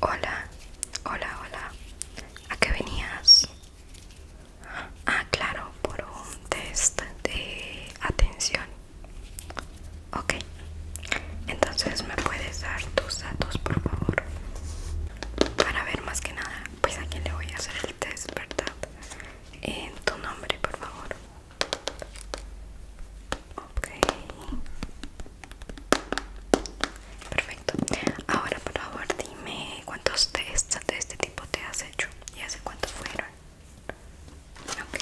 Hola, hola, hola. ¿A qué venías? Ah, claro, por un test de atención. Ok, entonces me puedes dar tus datos, por favor. Para ver más que nada, pues a quién le voy a hacer el test, ¿verdad? En eh, tu nombre, por favor ok perfecto ahora por favor dime cuántos test de este tipo te has hecho y hace cuántos fueron ok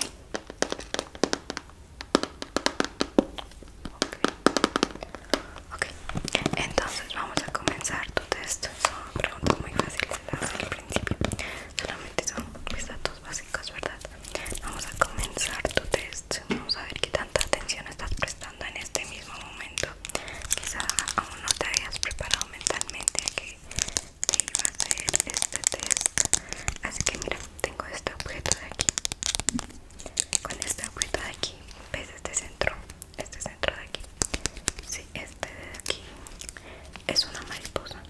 ok, entonces vamos a comenzar tu test son preguntas muy fáciles las al principio solamente son mis datos básicos verdad Vamos a comenzar tu test. Vamos a ver qué tanta atención estás prestando en este mismo momento. Quizá aún no te hayas preparado mentalmente a que te iba a hacer este test. Así que mira, tengo este objeto de aquí. Con este objeto de aquí, ves este centro, este centro de aquí. Sí, este de aquí es una mariposa.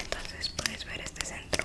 Entonces puedes ver este centro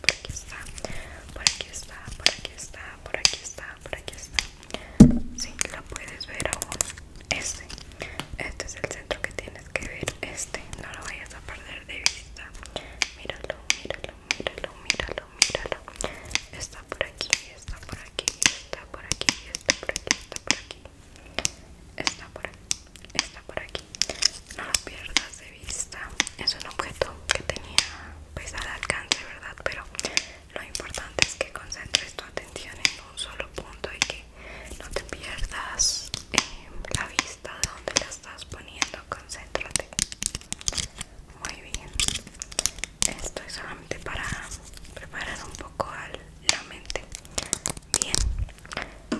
por aquí está, por aquí está, por aquí está, por aquí está, por aquí está. Sí, lo puedes ver aún. Este, este es el centro que tienes que ver. Este, no lo vayas a perder de vista. Míralo, míralo, míralo, míralo, míralo. Está por aquí, está por aquí, está por aquí, está por aquí, está por aquí. Está por aquí, está por aquí no lo pierdas de vista es un objeto que tenía pesado alcance verdad pero lo importante es que concentres tu atención en un solo punto y que no te pierdas eh, la vista de donde la estás poniendo concéntrate muy bien esto es solamente para preparar un poco la mente bien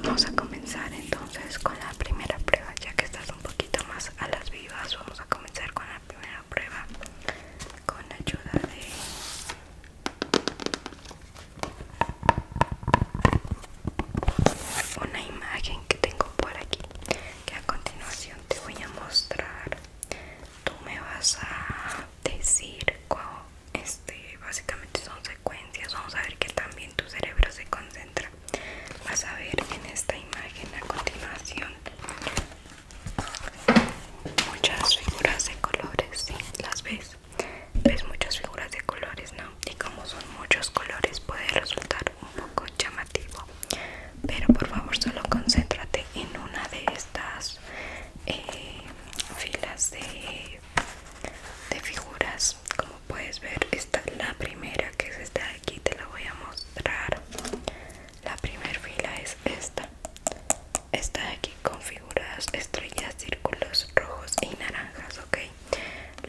Vamos a comenzar entonces con la primera prueba ya que estás un poquito más a las vivas, vamos a comenzar con la primera prueba con ayuda de una imagen que tengo por aquí que a continuación te voy a mostrar tú me vas a decir cuál este básicamente son secuencias vamos a ver que también tu cerebro se concentra vas a ver en esta imagen a continuación muchas figuras de colores las ves ves muchas figuras de colores no y como son muchos colores puede resultar un poco llamativo pero por favor solo concéntrate en una de estas eh, filas de, figuras puedes ver está la primera que es esta de aquí te la voy a mostrar la primera fila es esta esta de aquí con figuras estrellas círculos rojos y naranjas ok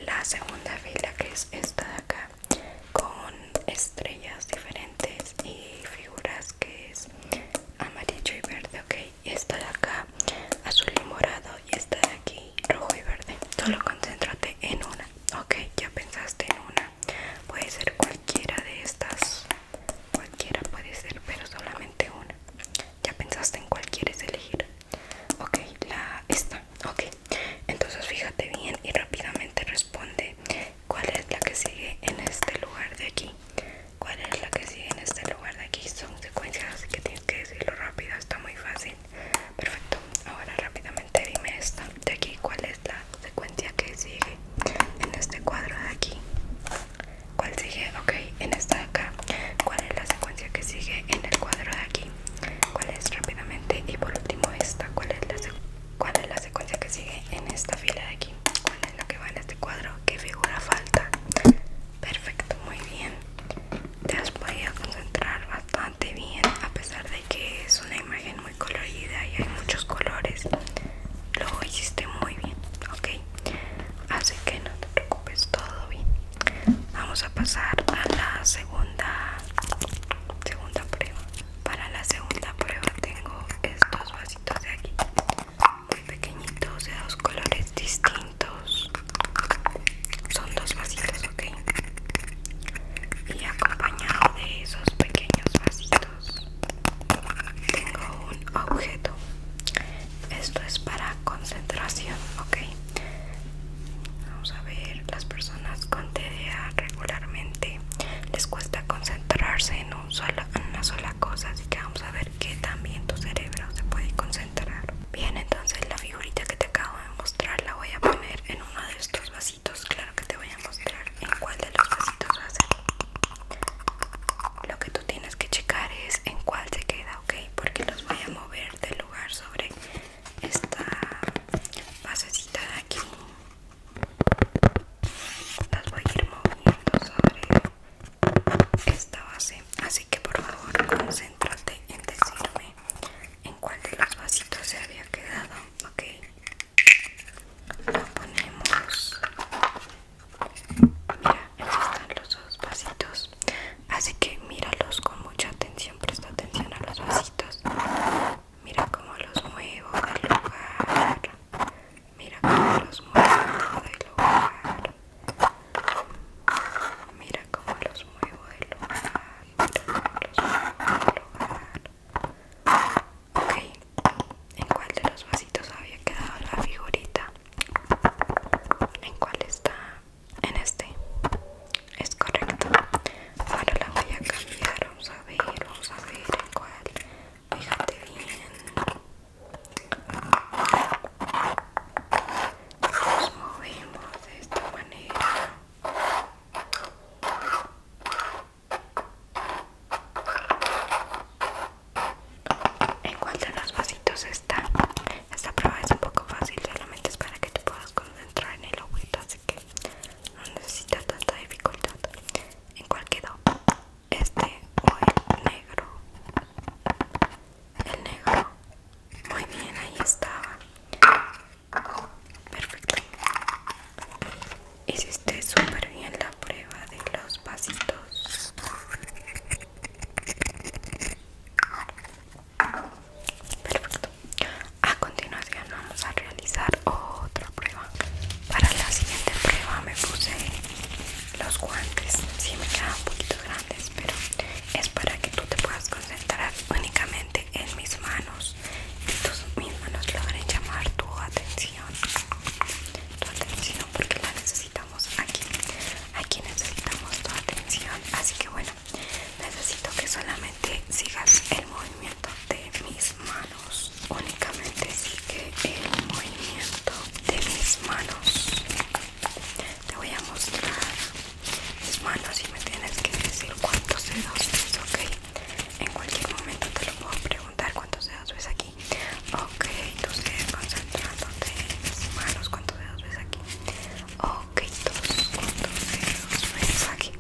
la segunda fila que es esta de acá con estrellas diferentes y figuras que es amarillo y verde ok esta de acá azul y morado y esta de aquí rojo y verde. Solo concéntrate en una. Ok, ya pensaste en una. Puede ser cualquiera de estas. Cualquiera puede ser, pero solamente una. Ya pensaste en cuál quieres elegir. Ok, la esta. Ok, entonces fíjate bien y rápidamente responde cuál es la que sigue en este lugar de aquí. ¿Cuál es la que sigue en este lugar de aquí? Son secuencias, así que tienes que decirlo rápido, está muy fácil perfecto ahora rápidamente dime esta de aquí cuál es la secuencia que sigue en este cuadro de aquí cuál sigue ok en esta de acá cuál es la secuencia que sigue en el cuadro de aquí cuál es rápidamente y por último esta cuál es la cuál es la secuencia que sigue en esta fila de aquí cuál es la que va en este cuadro qué figura falta perfecto muy bien te has podido concentrar bastante bien a pesar de que es una imagen muy colorida y hay muchos colores lo hiciste muy bien ok así que no te preocupes todo bien vamos a pasar a la segunda segunda prueba para la segunda prueba tengo estos vasitos de aquí muy pequeñitos de dos colores distintos son dos vasitos ok y acompañado de esos pequeños vasitos tengo un objeto esto es para concentración ok vamos a ver las personas con TDA regularmente les cuesta concentrarse en, un solo, en una sola cosa así que vamos a ver que también tu cerebro se puede concentrar bien entonces la figurita que te acabo de mostrar la voy a poner en uno de estos vasitos claro que te voy a mostrar en cuál de los vasitos va a ser lo que tú tienes que checar es en cuál se queda ok porque los voy a mover del lugar sobre esta basecita de aquí las voy a ir moviendo sobre esta base así que por favor concéntrate en decirme en cuál de los vasitos se había quedado ok lo ponemos mira aquí están los dos vasitos así que míralos con mucha atención presta atención a los vasitos mira cómo los muevo del lugar mira cómo los muevo del lugar Mira cómo los muevo del lugar. los muevo lugar. Ok. ¿En cuál de los vasitos había quedado la figurita? ¿En cuál está? En este. Es correcto. Ahora la voy a cambiar. Vamos a ver, vamos a ver en cuál. Fíjate bien nos movemos de esta manera en de los vasitos esta esta prueba es un poco fácil solamente es para que te puedas concentrar en el ojito, así que no necesitas tanta dificultad en cualquier quedó este o negro el negro muy bien ahí estaba perfecto hiciste súper bien la prueba de los pasitos perfecto a continuación vamos a realizar otra prueba para la siguiente prueba me puse los guantes si me quedan un poquito grandes pero es para que tú te puedas concentrar únicamente en mis manos y tus, mis manos logren llamar tu atención, tu atención porque la necesitamos aquí, aquí necesitamos tu atención, así que bueno, necesito que solamente sigas el movimiento de mis manos, únicamente sigue el movimiento de mis manos te voy a mostrar mis manos y me tienes que decir cuántos dedos ves, ok. En cualquier momento te lo puedo preguntar cuántos dedos ves aquí. Ok, tú sigue concentrándote en mis manos, cuántos dedos ves aquí. Ok, dos, cuántos dedos ves aquí.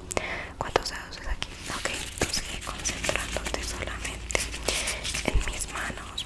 ¿Cuántos dedos ves aquí? tú sigue concentrándote solamente en mis manos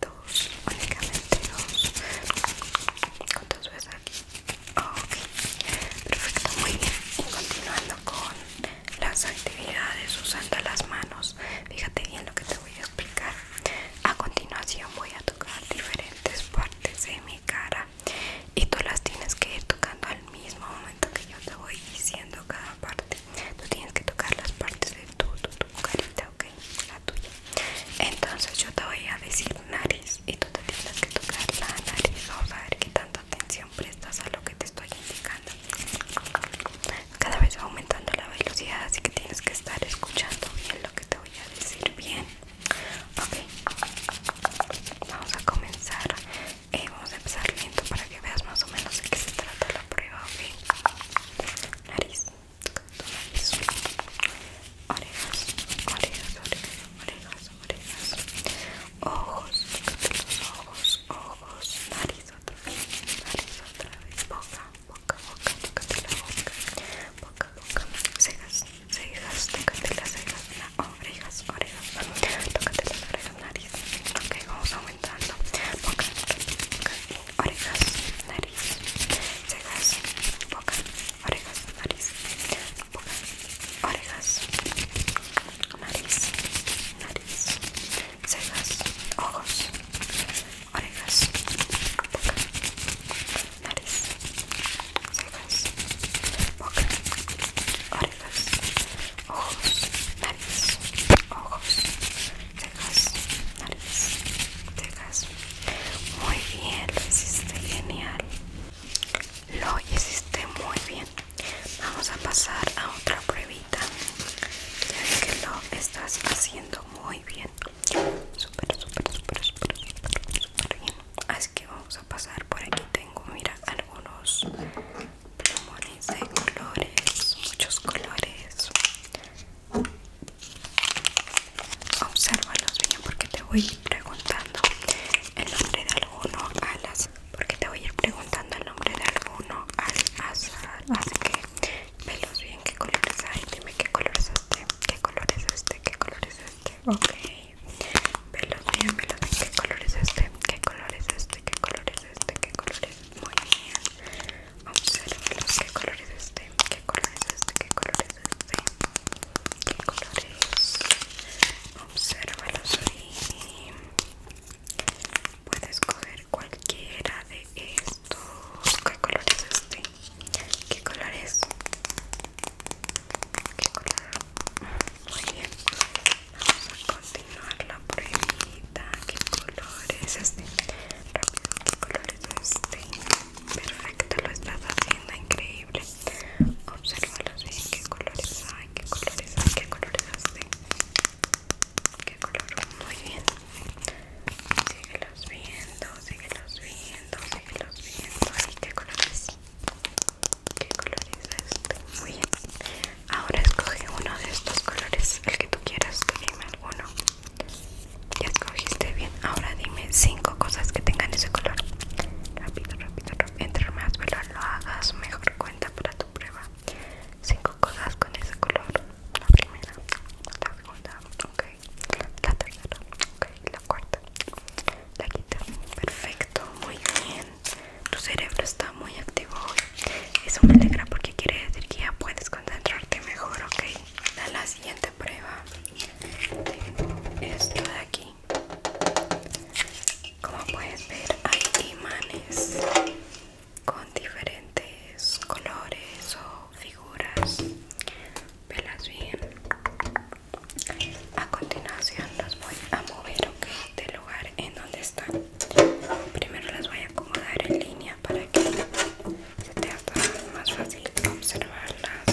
dos, únicamente dos. ¿Cuántas ves aquí? Ok, perfecto, muy bien. Y continuando con las actividades usando las manos, fíjate bien lo que te voy a explicar. A continuación, voy a tocar diferentes partes de mi cara y tú las tienes que ir tocando al mismo momento que yo te voy diciendo cada parte. Tú tienes que tocar las partes de tu, tu, carita, ok, la tuya. Entonces yo te voy a decir nariz y tú te tienes que tocar la nariz. Vamos a ver qué tanta atención prestas a lo que te estoy indicando. Cada vez va aumentando la velocidad, así que tienes que estar escuchando bien lo que te voy a decir bien. Ok, vamos a comenzar. Eh, vamos a empezar lento para que veas más o menos de qué se trata la prueba, Nariz. Entonces, orejas, orejas, orejas, orejas, orejas, ojos, ojos, ojos, nariz otra vez, nariz otra boca, boca, boca, tócate la boca, boca, boca, cejas, cejas, tócate las cejas, no, orejas, tócate las orejas, nariz, ok, vamos aumentando, boca, boca, orejas, nariz nariz, cejas, boca, orejas, nariz, boca, orejas, nariz, nariz, cejas, ojos, orejas, boca, nariz, cejas, boca, orejas, ojos, nariz, ojos. cejas, nariz, Muy bien, lo hiciste genial. Lo hiciste muy bien. Vamos a pasar a otra pruebita. Ya que lo estás haciendo muy bien. Súper, súper, súper, súper, súper, súper bien. Así que vamos a pasar por aquí. Tengo, mira, algunos plumones de colores, muchos colores. Obsérvalos bien porque te voy a ir preguntando el nombre de alguno al azar. Porque te voy a ir preguntando el nombre de alguno al azar. Así que velos bien qué colores hay. Dime qué colores es este, qué color es este, qué colores es este. Ok. Velos bien, velos bien qué color es este, qué color es este, qué color es este, qué colores es. Este. Muy bien observalos, los ¿Qué colores es este? ¿Qué colores es este? ¿Qué colores, es este? ¿Qué colores es? los y puedes coger cualquiera de estos. ¿Qué colores es este? ¿Qué colores, ¿Qué colores Muy bien. Vamos a continuar la pruebita, qué colores este, qué colores este, perfecto, lo estás haciendo increíble, observalo bien, qué colores hay, qué colores hay, qué colores este, qué color, muy bien, sigue los viendo, sigue los viendo, los viendo, y qué colores, qué colores este, muy bien. Ahora escoge uno de estos colores, el que tú quieras, dime alguno. Ya escogiste bien. Ahora dime cinco cosas que tengan ese color. Rápido, rápido, rápido. Entre más veloz lo hagas, mejor cuenta para tu prueba. Cinco cosas con ese color. La primera, la segunda, ok. La tercera, ok. La cuarta, la quinta. Perfecto, muy bien. Tu cerebro está muy activo hoy. Eso me alegra porque quiere decir que ya puedes concentrarte mejor, ok. la siguiente prueba. Esto de aquí. Como puedes ver, hay imanes con diferentes colores o figuras. Velas bien. A continuación los voy a mover, ok, del lugar en donde están. Primero las voy a acomodar en línea para que se te haga más fácil observarlas.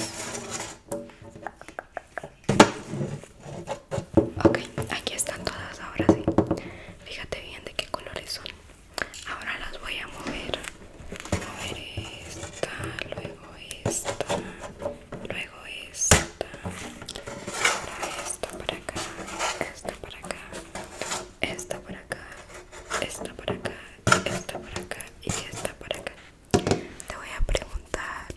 Ok, aquí están todas ahora sí. Fíjate bien de qué colores son. Ahora las voy a mover. Mover esta, luego esta, luego esta, esta para acá, esta para acá, esta por acá, esta por acá, esta por acá y esta por acá. Te voy a preguntar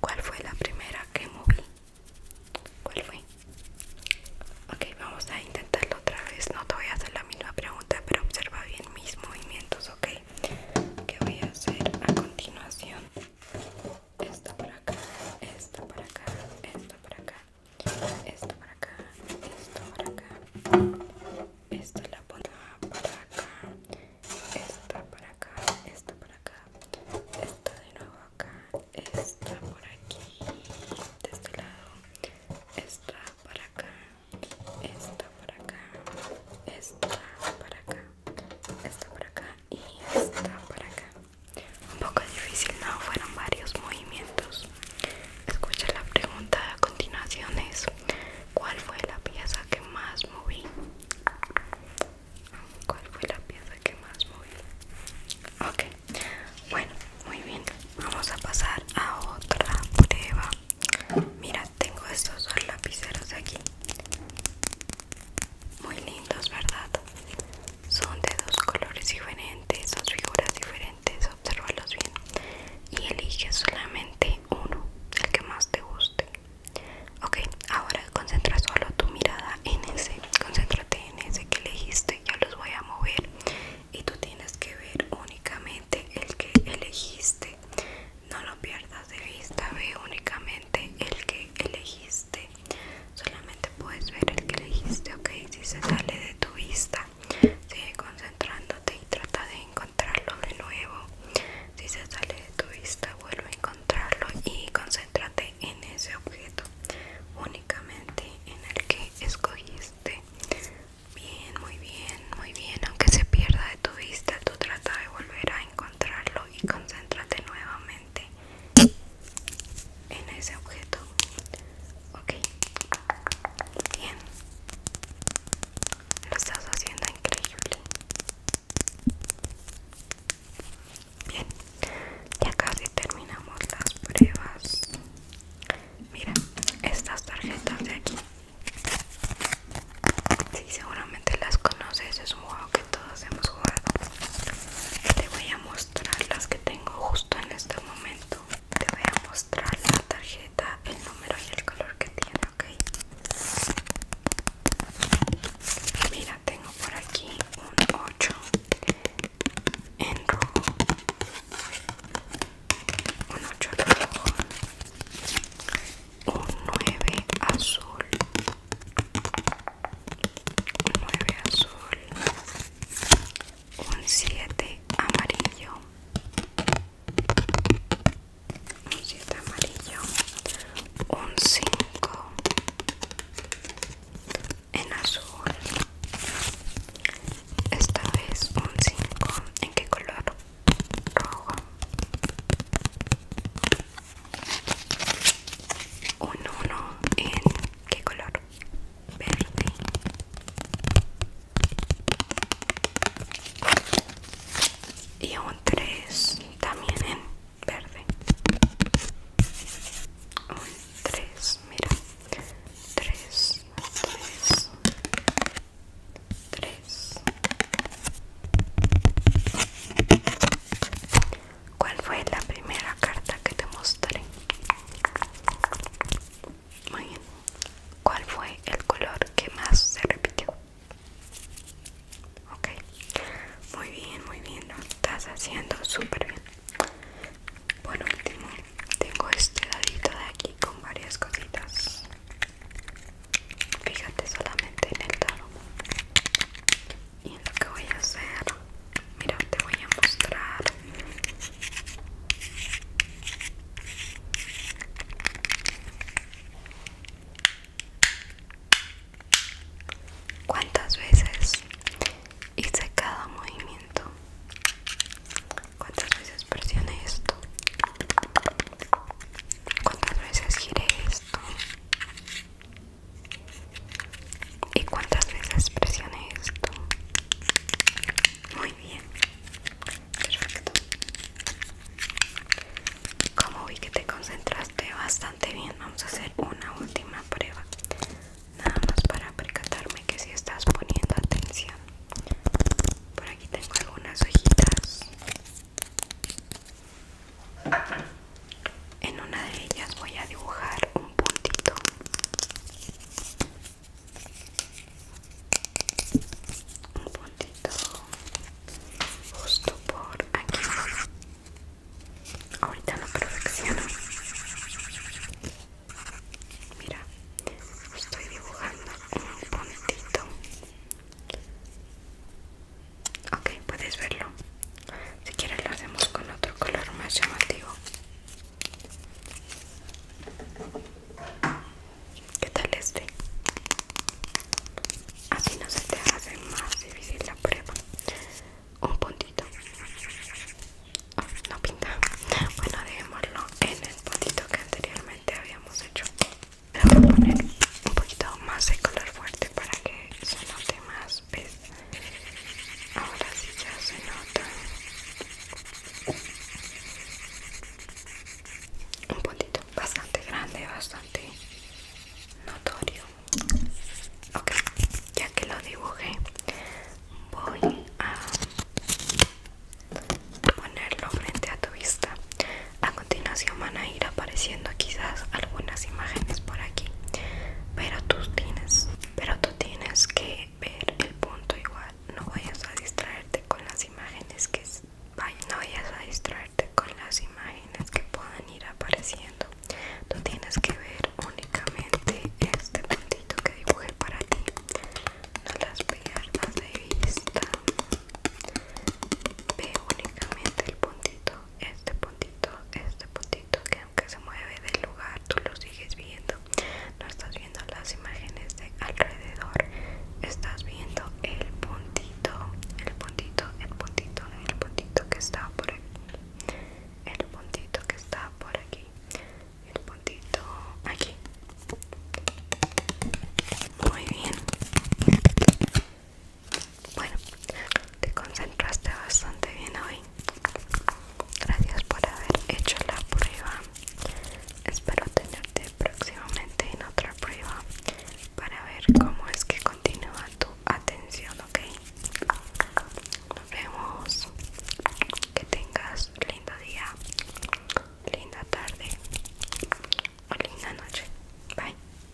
cuál fue la primera que moví. ¿Cuál fue? Ok, vamos a intentarlo otra vez. No te voy a hacer la misma pregunta, pero observa bien mis movimientos, ¿ok? ¿Qué voy a hacer a continuación? Esta por acá, esta por acá, esta por acá, esto para acá, esto para acá, esta la pongo para acá, esta para acá, esta para acá, esta de nuevo acá, esta por aquí, de este lado, esta para acá, esta para acá, esta para acá, esta para acá y esta para acá un poco difícil, no fueron varios movimientos. Escucha la pregunta a continuación es ¿cuál fue la pieza que más moví? ¿Cuál fue la pieza que más moví? Ok, bueno, muy bien. Vamos a pasar a otra prueba. Mira, tengo estos lapiceros aquí. Muy lindos, ¿verdad? Son de dos colores diferentes, dos figuras diferentes, observalos bien y elige solamente uno, el que más te guste. Ok, ahora concentra solo tu mirada en ese, concéntrate en ese que elegiste, yo los voy a mover y tú tienes que ver únicamente el que elegiste. No lo pierdas de vista, ve únicamente el que elegiste solamente puedes ver el que elegiste ok si se sale de tu vista sigue concentrándote y trata de encontrarlo de nuevo si se sale de tu vista vuelve a encontrarlo y concéntrate en ese objeto únicamente en el que escogiste bien muy bien muy bien aunque se pierda de tu vista tú trata de volver a encontrarlo y concéntrate nuevamente en ese objeto ok bien lo estás haciendo increíble bien ya casi terminamos las pruebas mira estas tarjetas de aquí si seguramente las conoces es un juego que todos hemos jugado te voy a mostrar las que tengo justo en este momento. Te voy a mostrar la tarjeta, el número y el color que tiene, ¿ok? Mira, tengo por aquí un 8 en rojo. Un 8 rojo. Un 9 azul un 9 azul, un 7 amarillo, un amarillo, un 5 en azul, esta vez un 5, ¿en qué color? Rojo un 1 en qué color verde y un 3 también en verde un 3 mira 3 3 3 ¿Cuál fue la primera carta que te mostré? Muy bien. ¿Cuál fue el color que más se repitió? Ok. Muy bien, muy bien. Lo estás haciendo súper bien. Por último, tengo este dadito de aquí con varias cositas. Fíjate solamente en el dado y lo que voy a hacer mira te voy a mostrar cuántas veces hice cada movimiento cuántas veces presioné esto cuántas veces giré esto ¿Y cuántas veces presioné esto? Muy bien. Perfecto. Como vi que te concentraste bastante bien, vamos a hacer una última prueba. Nada más para percatarme que si estás poniendo atención. Por aquí tengo algunas hojitas. En una de ellas voy a dibujar un puntito. Un puntito justo por aquí. Ahorita lo perfecciono. Mira, estoy dibujando un puntito Ok, puedes verlo. Si quieres lo hacemos con otro color más llamativo. ¿Qué tal este? Así no se te hace más difícil la prueba. Un puntito. Ah, no pinta. Bueno, dejémoslo en el puntito que anteriormente habíamos hecho. Voy a poner un poquito más de color fuerte para que se note más Ahora sí ya se nota un puntito bastante grande, bastante notorio. Ok, ya que lo dibujé, voy a ponerlo frente a tu vista. A continuación van a ir apareciendo quizás algunas imágenes por aquí pero tú tienes pero tú tienes que ver el punto igual no vayas a distraerte con las imágenes que no vayas a distraerte con las imágenes que puedan ir apareciendo tú tienes que ver únicamente este puntito que dibujé para ti no las pierdas de vista ve únicamente el puntito este puntito, este puntito que aunque se mueve del lugar tú lo sigues viendo no estás viendo las imágenes de alrededor estás viendo el puntito el puntito el puntito el puntito que está por aquí el puntito que está por aquí el puntito aquí muy bien bueno, te concentraste bastante bien hoy. Gracias por haber hecho la prueba. Espero tenerte próximamente en otra prueba para ver cómo es que continúa tu atención, ¿ok? Nos vemos. Que tengas lindo día, linda tarde o linda noche. Bye.